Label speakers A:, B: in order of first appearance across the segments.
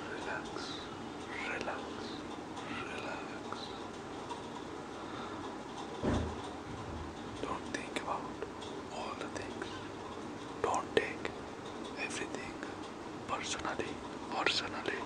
A: Relax, relax, relax. Don't think about all the things. Don't take everything personally. Personally,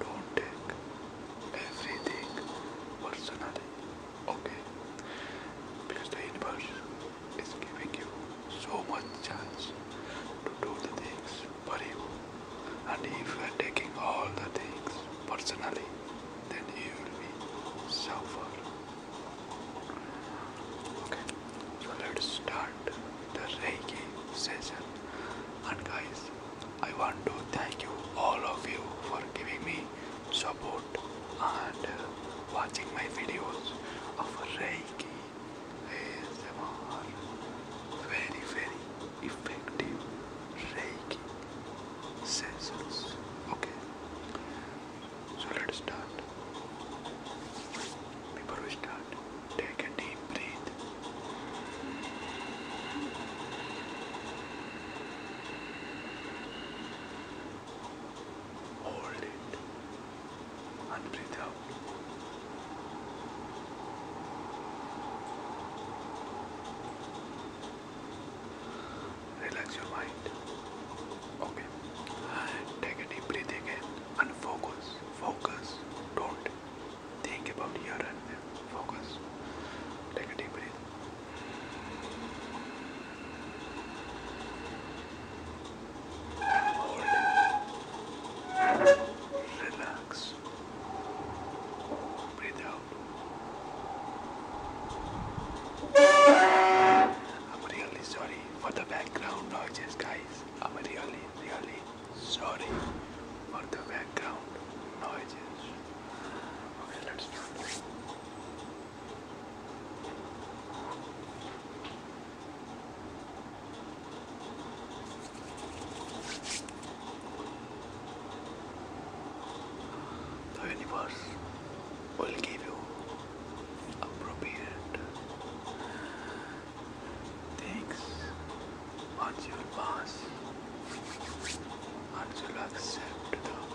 A: don't take everything personally okay because the universe is giving you so much chance to do the things but you and if you are taking all the things personally then you will be suffer okay so let's start the reiki session and guys I want to thank you all of you for giving me support and uh, watching my videos of Reiki is ASMR. Very, very effective Reiki sessions. Okay, so let's start. Before we start, take a deep breath. Hold it and breathe out. Relax your mind. Okay. take a deep breath again and focus. Focus. Don't think about here and there. Focus. Take a deep breath. I'm really sorry for the background noises. guys. I'm really, really sorry Okay, let's start. The universe will give you appropriate things once you pass, once you accept the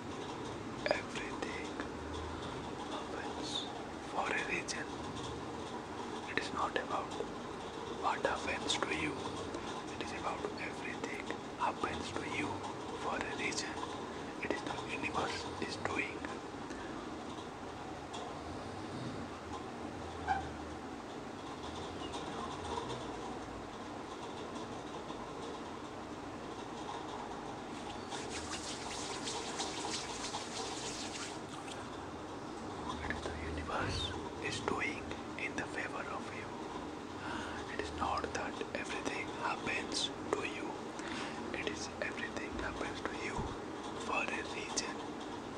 A: Everything happens for a reason. It is not about what happens to you. It is about everything happens to you for a reason. It is the universe is doing the universe is doing in the favor of you. It is not that everything happens to you. It is everything happens to you for a reason.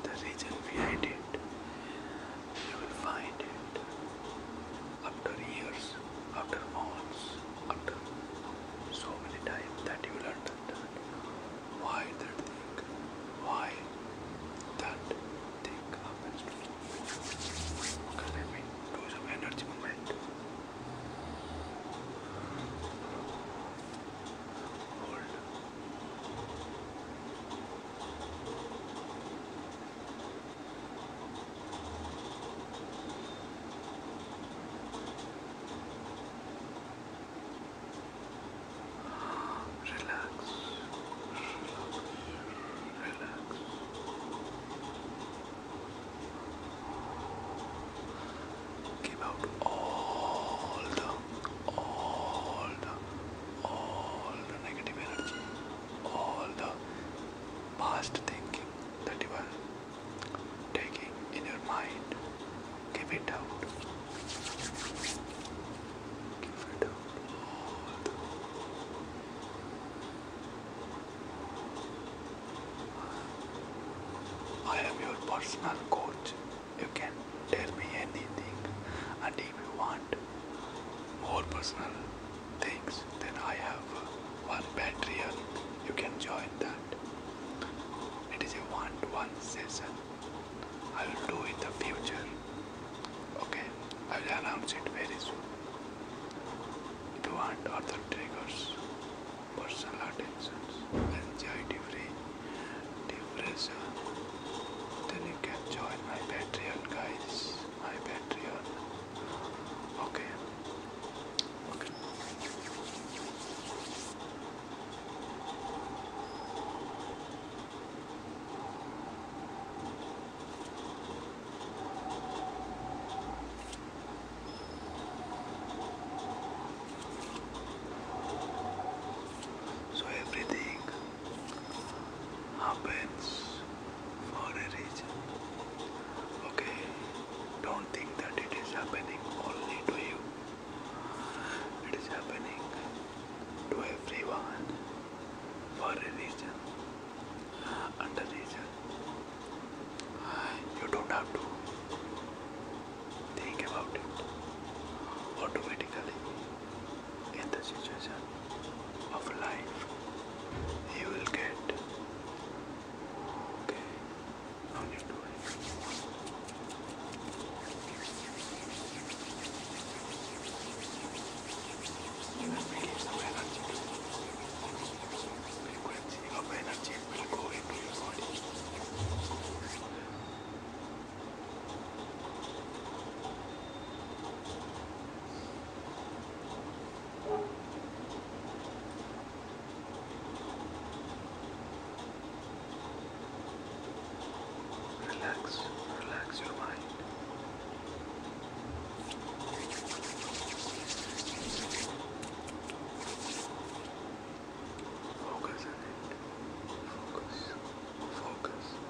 A: The reason behind it. You will find it after years, after months, after so many times that you will understand why that thing, why that thing happens Okay, let me do some energy movement. Hold. Relax, relax, relax. Give out all the, all the, all the negative energy, all the past thinking, that you are taking in your mind. Give it out. Give it out. I am your personal coach. You can tell me anything, and if you want more personal things, then I have one Patreon. You can join that. It is a one-to-one -one session. I will do it in the future. Okay, I will announce it very soon. If you want other triggers, personal attentions, anxiety free, depression, then you can join my Patreon guys my Patreon. Okay. Okay. So everything happens for a reason. Okay, don't think that it is happening only to you, it is happening to everyone for a reason and a reason. You don't have to think about it automatically in the situation of life you will get. Okay, now you do it. You will begin to energy. Frequency of energy will go into Relax, relax your mind. Focus on it. Focus, focus.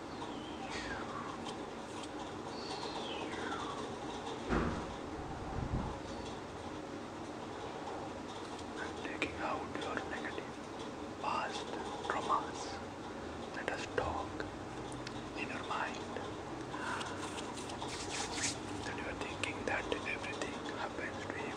A: Taking out your negative past traumas. Let us talk in your mind that you are thinking that everything happens to you.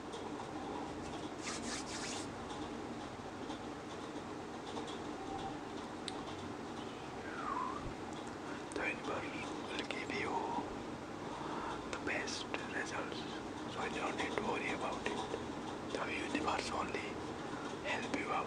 A: The universe will give you the best results, so you don't need to worry about it. The universe only help you out.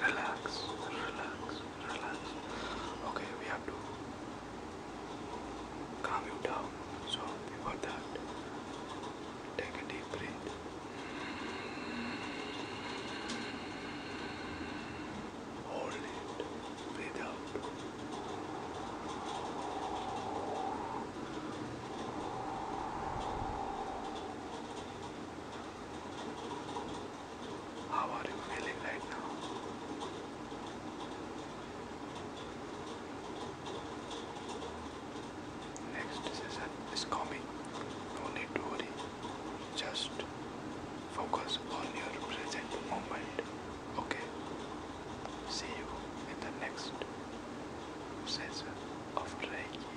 A: Relax, relax, relax. Okay, we have to calm you down. So, before that, take a deep breath. Hold it. Breathe out. How are you feeling right now? Next session is coming. No need to worry. Just focus on your present moment. Okay? See you in the next session of Reiki.